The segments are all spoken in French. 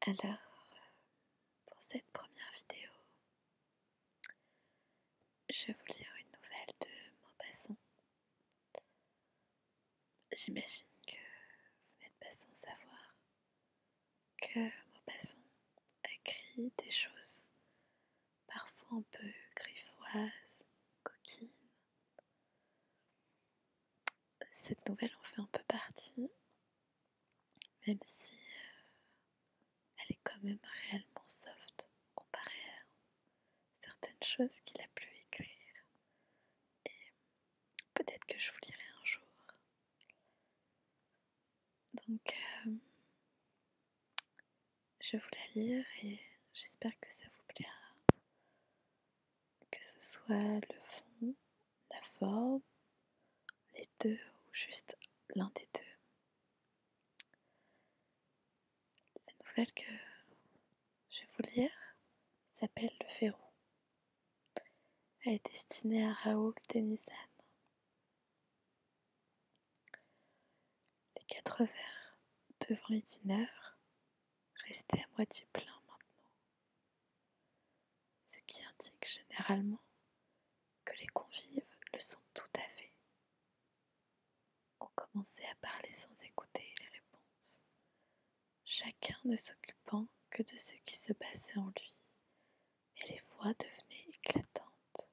Allô Alors, pour cette première vidéo, je vais vous lire une nouvelle de Maupassant. J'imagine que vous n'êtes pas sans savoir que Maupassant écrit des choses parfois un peu griffoises, coquines, cette nouvelle en fait un peu partie, même si euh, elle est quand même réellement soft comparée à certaines choses qu'il a pu écrire. Et peut-être que je vous lirai un jour. Donc, euh, je vous la lire et j'espère que ça vous plaira. Que ce soit le fond, la forme, les deux ou juste l'un des deux. La nouvelle que je vais vous lire s'appelle Le Ferrou. Elle est destinée à Raoul Denizan. Les quatre verres devant les dîneurs restait à moitié plein maintenant, ce qui indique généralement que les convives le sont tout à fait. On commençait à parler sans écouter les réponses, chacun ne s'occupant que de ce qui se passait en lui, et les voix devenaient éclatantes,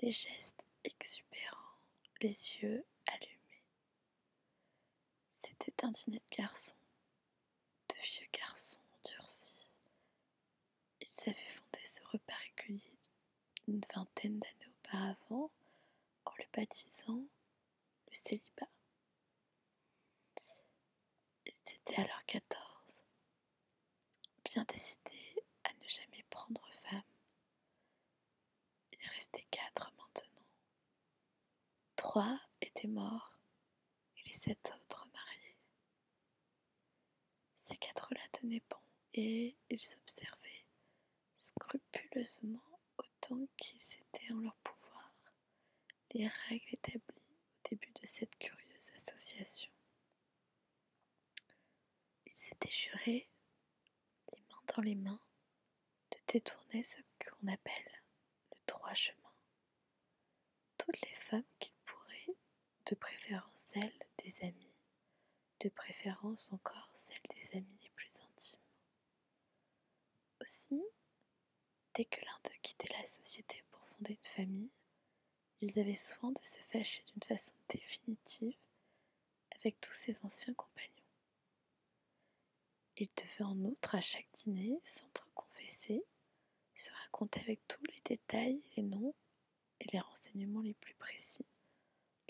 les gestes exubérants, les yeux allumés, c'était un dîner de garçons, de vieux garçons durcis. Ils avaient fondé ce repas régulier une vingtaine d'années auparavant en le baptisant le célibat. Ils étaient alors quatorze, bien décidés à ne jamais prendre femme, il restait quatre maintenant. Trois étaient morts et les sept autres mariés. Ces quatre-là tenaient bon et ils observaient scrupuleusement autant qu'ils étaient en leur pouvoir les règles établies au début de cette curieuse association. Ils s'étaient jurés les mains dans les mains, de détourner ce qu'on appelle le droit chemin. Toutes les femmes qu'ils pourraient, de préférence celles des amis, de préférence encore celles des amis les plus intimes. Aussi, dès que l'un d'eux quittait la société pour fonder une famille, ils avaient soin de se fâcher d'une façon définitive avec tous ses anciens compagnons. Il devait en outre à chaque dîner s'entre-confesser, se raconter avec tous les détails, les noms et les renseignements les plus précis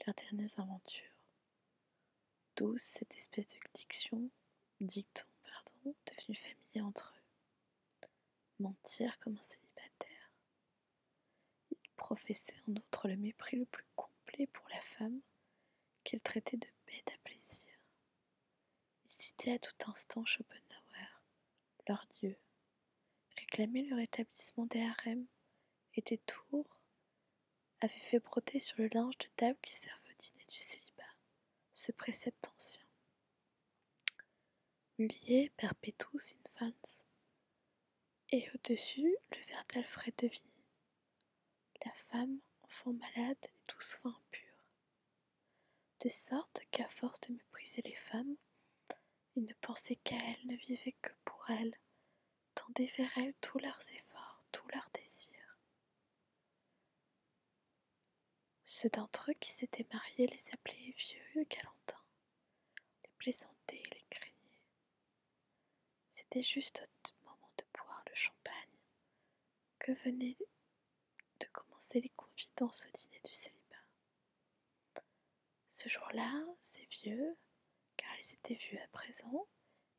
leurs dernières aventures. D'où cette espèce de diction, dicton, pardon, devenu familière entre eux. Mentir comme un célibataire. Ils professaient en outre le mépris le plus complet pour la femme qu'ils traitaient de paix, à plaisir. Ils à tout instant Schopenhauer, leur dieu, réclamait le rétablissement des harems, et des tours avait fait broder sur le linge de table qui servait au dîner du célibat ce précepte ancien. Mulier, Perpetuus infans, et au-dessus le verre d'Alfred de vie. La femme, enfant malade et douce fin, impure, De sorte qu'à force de mépriser les femmes, ils ne pensaient qu'à elle, ne vivaient que pour elles, tendaient vers elles tous leurs efforts, tous leurs désirs. Ceux d'entre eux qui s'étaient mariés les appelaient vieux galantins, les plaisantaient, les craignaient, c'était juste au moment de boire le champagne que venaient de commencer les confidences au dîner du célibat. Ce jour-là, ces vieux, car ils étaient vieux à présent,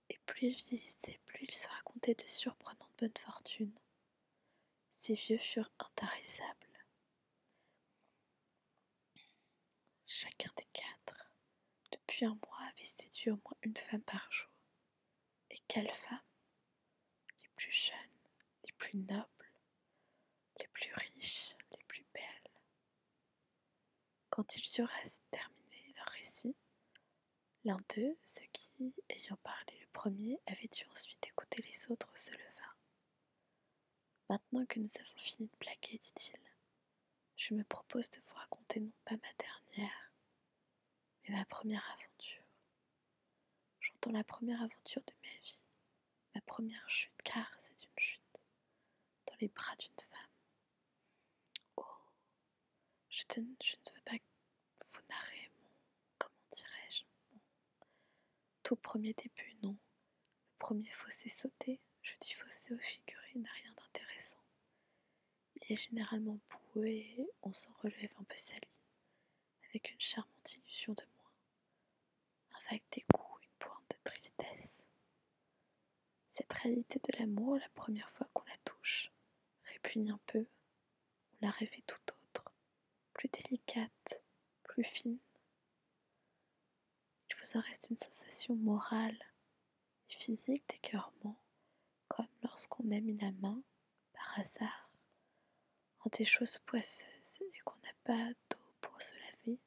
et plus ils visitaient, plus ils se racontaient de surprenantes bonnes fortunes. Ces vieux furent intarissables. Chacun des quatre, depuis un mois, avait séduit au moins une femme par jour. Et quelles femmes Les plus jeunes, les plus nobles, les plus riches, les plus belles. Quand ils eurent terminé leur récit, l'un d'eux, ceux qui, ayant parlé le premier, avait dû ensuite écouter les autres, se leva. Maintenant que nous avons fini de plaquer, dit-il, je me propose de vous raconter non pas ma dernière, mais ma première aventure. J'entends la première aventure de ma vie, ma première chute, car c'est une chute, dans les bras d'une femme. Oh, je, ne veux pas vous narrer mon, comment dirais-je, mon tout premier début, non. Le premier fossé sauté, je dis fossé au figuré, n'a rien d'intéressant. Il est généralement boueux et on s'en relève un peu sali, avec une charmante illusion de moi, avec des dégoût, une pointe de tristesse. Cette réalité de l'amour, la première fois qu'on la touche, répugne un peu, on la rêvait tout autre, plus délicate, plus fine. Il vous en reste une sensation morale, physique physique d'écœurement, comme lorsqu'on a mis la main, par hasard, en des choses poisseuses et qu'on n'a pas d'eau pour se laver,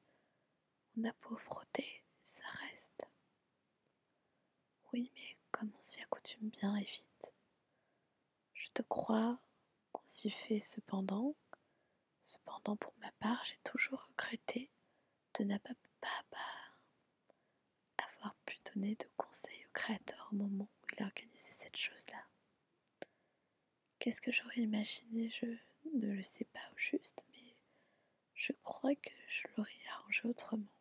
on a beau frotter, ça reste. Oui, mais comme on s'y accoutume bien et vite. Je te crois qu'on s'y fait cependant. Cependant, pour ma part, j'ai toujours regretté de ne pas, avoir pu donner de conseils au créateur au moment où il organisé cette chose-là. Qu'est-ce que j'aurais imaginé Je ne le sais pas au juste, mais je crois que je l'aurais arrangé autrement.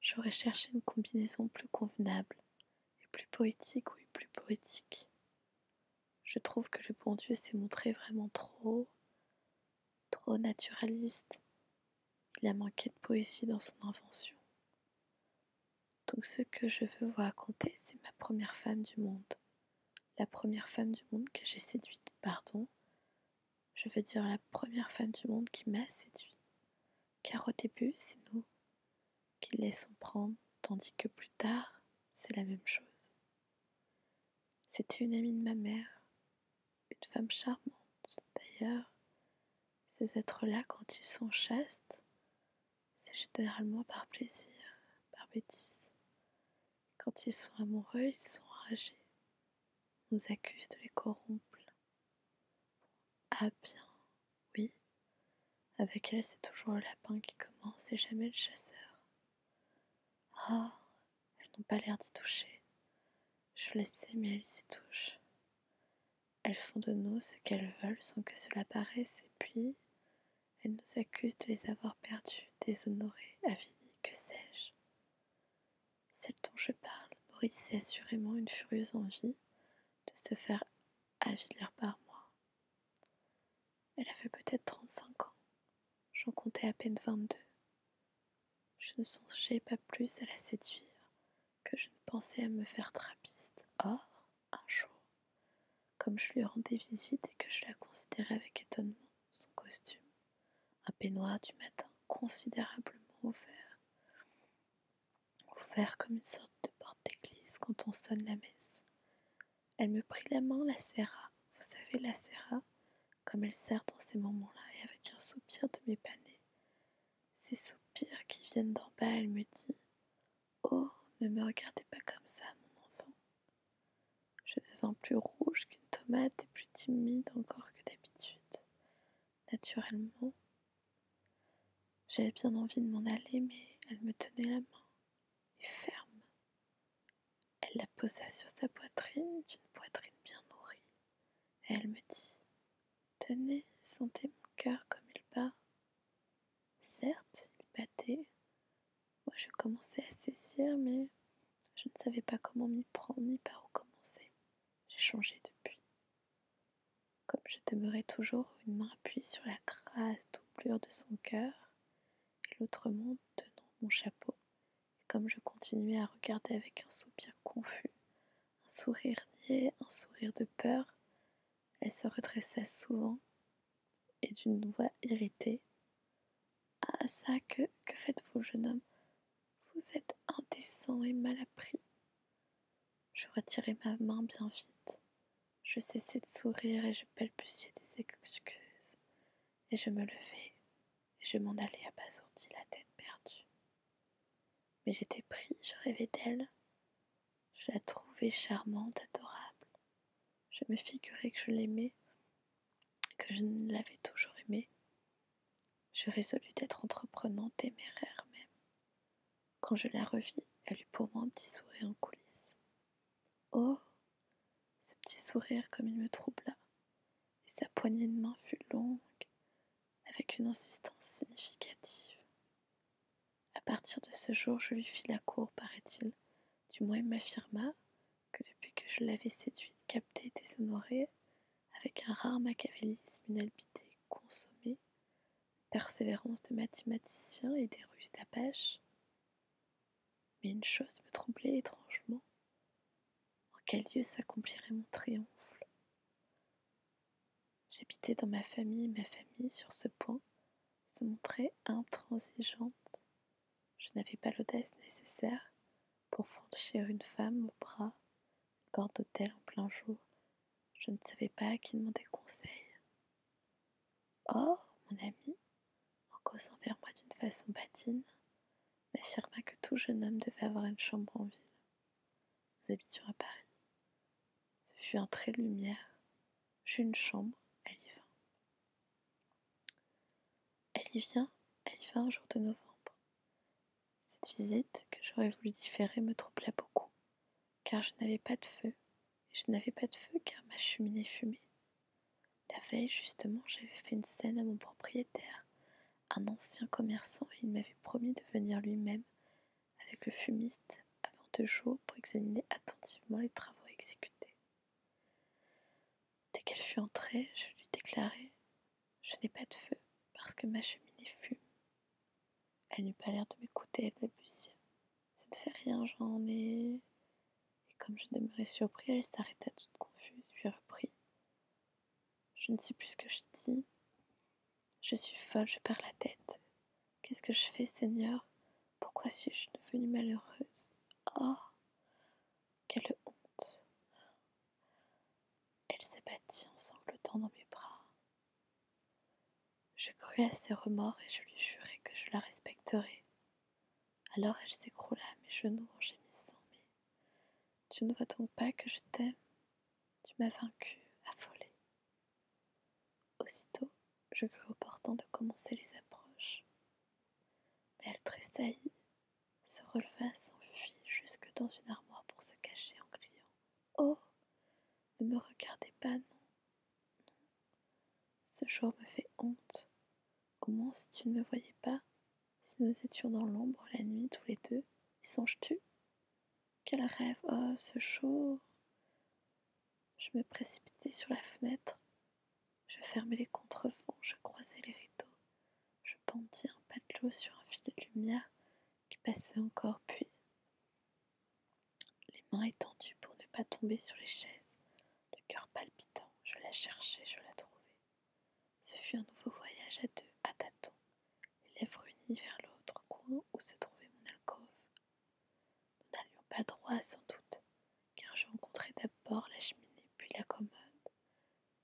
J'aurais cherché une combinaison plus convenable, et plus poétique, oui, plus poétique. Je trouve que le bon Dieu s'est montré vraiment trop trop naturaliste. Il a manqué de poésie dans son invention. Donc ce que je veux vous raconter, c'est ma première femme du monde. La première femme du monde que j'ai séduite, pardon. Je veux dire la première femme du monde qui m'a séduit. Car au début, c'est nous qui laissons prendre, tandis que plus tard, c'est la même chose. C'était une amie de ma mère, une femme charmante d'ailleurs. Ces êtres-là, quand ils sont chastes, c'est généralement par plaisir, par bêtise. Quand ils sont amoureux, ils sont enragés, nous accusent de les corrompre. Ah bien, oui, avec elle c'est toujours le lapin qui commence et jamais le chasseur. Oh, elles n'ont pas l'air d'y toucher. Je le sais, mais elles y touchent. Elles font de nous ce qu'elles veulent sans que cela paraisse, et puis elles nous accusent de les avoir perdues, déshonorées, avilies, que sais-je. Celle dont je parle nourrissait assurément une furieuse envie de se faire avilir par moi. Elle avait peut-être 35 ans, J'en comptais à peine vingt-deux. Je ne songeais pas plus à la séduire que je ne pensais à me faire trapiste. Or, un jour, comme je lui rendais visite et que je la considérais avec étonnement, son costume, un peignoir du matin considérablement ouvert, ouvert comme une sorte de porte d'église quand on sonne la messe. Elle me prit la main, la serra, vous savez, la serra, comme elle sert dans ces moments-là, et avec un soupir de m'épaner. Ces soupirs qui viennent d'en bas, elle me dit Oh, ne me regardez pas comme ça, mon enfant. Je devins plus rouge qu'une tomate et plus timide encore que d'habitude. Naturellement, j'avais bien envie de m'en aller, mais elle me tenait la main, et ferme. Elle la posa sur sa poitrine d'une poitrine bien nourrie. Et elle me dit Tenez, sentez mon cœur comme il bat. Certes, il battait. Moi, je commençais à saisir, mais je ne savais pas comment m'y prendre ni par où commencer. J'ai changé depuis. Comme je demeurais toujours une main appuyée sur la grasse doublure de son cœur et l'autre main tenant mon chapeau, comme je continuais à regarder avec un soupir confus, un sourire niais, un sourire de peur, elle se redressa souvent et d'une voix irritée. Ah ça, que, que faites-vous, jeune homme Vous êtes indécent et mal appris. Je retirai ma main bien vite. Je cessai de sourire et je balbutiai des excuses. Et je me levai, je m'en allais abasourdie, la tête perdue. Mais j'étais pris, je rêvais d'elle. Je la trouvais charmante, adorable. Je me figurais que je l'aimais, que je ne l'avais toujours aimée. Je résolus d'être entreprenante, téméraire même. Quand je la revis, elle eut pour moi un petit sourire en coulisses. Oh, ce petit sourire comme il me troubla, et sa poignée de main fut longue, avec une insistance significative. À partir de ce jour, je lui fis la cour, paraît-il. Du moins, il m'affirma que depuis que je l'avais séduite, captée déshonorée, avec un rare machiavélisme, une albité consommée, persévérance de mathématicien et des ruses d'apache. Mais une chose me troublait étrangement. En oh, quel lieu s'accomplirait mon triomphe J'habitais dans ma famille, et ma famille, sur ce point, se montrait intransigeante. Je n'avais pas l'audace nécessaire pour franchir une femme au bras, une porte d'hôtel en plein jour. Je ne savais pas à qui demander conseil. Oh, mon ami, en causant vers moi d'une façon patine, m'affirma que tout jeune homme devait avoir une chambre en ville. Nous habitions à Paris. Ce fut un trait de lumière. J'eus une chambre, elle y vint. Elle y vient, elle y vint un jour de novembre. Cette visite, que j'aurais voulu différer, me troubla beaucoup, car je n'avais pas de feu, et je n'avais pas de feu car ma cheminée fumait, la veille, justement, j'avais fait une scène à mon propriétaire, un ancien commerçant, et il m'avait promis de venir lui-même avec le fumiste avant deux jours pour examiner attentivement les travaux exécutés. Dès qu'elle fut entrée, je lui déclarai Je n'ai pas de feu parce que ma cheminée fume. Elle n'eut pas l'air de m'écouter, elle balbutia. Ça ne fait rien, j'en ai et comme je demeurais surpris, elle s'arrêta toute confuse, puis reprit. Je ne sais plus ce que je dis. Je suis folle, je perds la tête. Qu'est-ce que je fais, Seigneur Pourquoi suis-je devenue malheureuse Oh Quelle honte Elle s'abattit en sanglotant dans mes bras. Je crus à ses remords et je lui jurai que je la respecterais. Alors elle s'écroula à mes genoux en gémissant. Mais tu ne vois donc pas que je t'aime Tu m'as vaincue, affolée. Aussitôt, je crus opportun de commencer les approches. Mais elle tressaillit, se releva, s'enfuit jusque dans une armoire pour se cacher en criant Oh Ne me regardez pas, non, non. Ce jour me fait honte. Au moins, si tu ne me voyais pas, si nous étions dans l'ombre la nuit tous les deux, y songes-tu Quel rêve Oh, ce jour Je me précipitai sur la fenêtre. Je fermais les contrevents, je croisais les rideaux. Je pendis un pas de l'eau sur un fil de lumière qui passait encore, puis, les mains étendues pour ne pas tomber sur les chaises, le cœur palpitant, je la cherchais, je la trouvais. Ce fut un nouveau voyage à deux, à tâtons, les lèvres unies vers l'autre coin où se trouvait mon alcôve. Nous n'allions pas droit sans doute, car je rencontrais d'abord la cheminée, puis la commode,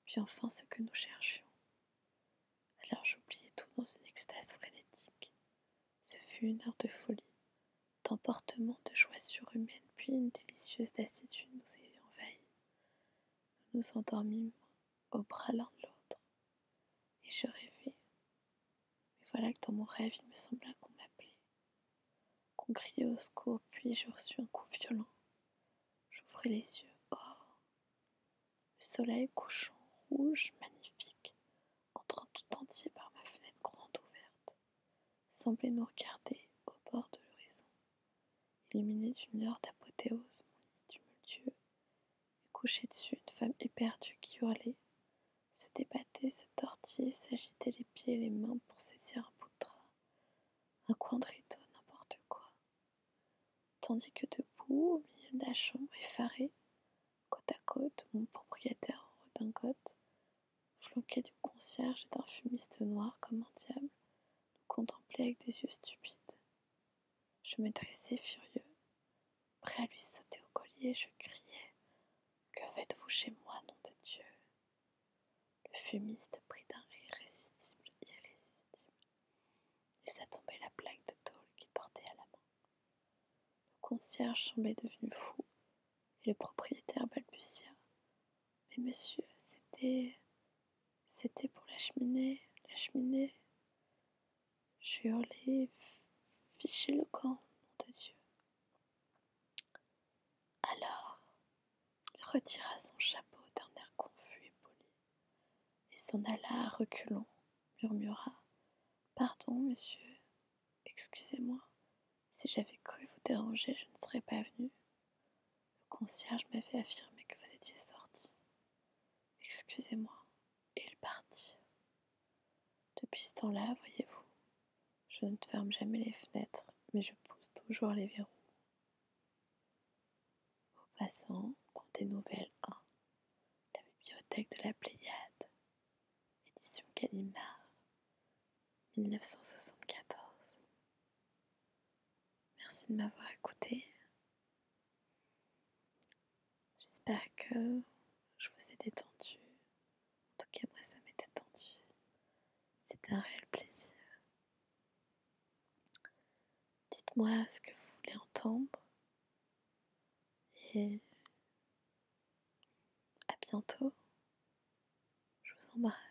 puis enfin ce que nous cherchions. Alors j'oubliais tout dans une extase frénétique. Ce fut une heure de folie, d'emportement de joie surhumaine, puis une délicieuse lassitude nous ayant envahi nous nous endormîmes au bras l'un de l'autre, et je rêvais. Mais voilà que dans mon rêve, il me sembla qu'on m'appelait, qu'on criait au secours, puis je reçus un coup violent. J'ouvris les yeux. Oh Le soleil couchant, rouge, magnifique, entrant tout entier par ma fenêtre grande ouverte, semblait nous regarder au bord de l'horizon. Éliminée d'une heure d'apothéose, mon lit tumultueux, et couchée dessus une femme éperdue qui hurlait, se débattait, se tortillait, s'agitait les pieds et les mains pour saisir un bout de un coin de rideau, n'importe quoi. Tandis que debout, au milieu de la chambre, effarée, côte à côte, mon propriétaire en redingote, flanqué du concierge et d'un fumiste noir comme un diable, nous contemplait avec des yeux stupides. Je me dressais furieux, prêt à lui sauter au collier, je criais Que faites-vous chez moi, nom de Dieu Le fumiste prit d'un rire irrésistible, irrésistible. ça tombait la plaque de tôle qu'il portait à la main. Le concierge semblait devenu fou et le propriétaire balbutia mais monsieur, c'était. C'était pour la cheminée, la cheminée. Je hurlais, fichez le camp, nom de Dieu. Alors, il retira son chapeau d'un air confus et poli, et s'en alla reculant, murmura Pardon, monsieur, excusez-moi, si j'avais cru vous déranger, je ne serais pas venue. Le concierge m'avait affirmé que vous étiez sorti. Excusez-moi. Et il partit. Depuis ce temps-là, voyez-vous, je ne ferme jamais les fenêtres, mais je pousse toujours les verrous. Au passant, comptez nouvelle 1, la bibliothèque de la Pléiade, édition Gallimard, 1974. Merci de m'avoir écouté. J'espère que je vous ai détendu. En tout cas, moi, ça m'est détendu. C'est un réel plaisir. Dites-moi ce que vous voulez entendre. Et à bientôt. Je vous embrasse.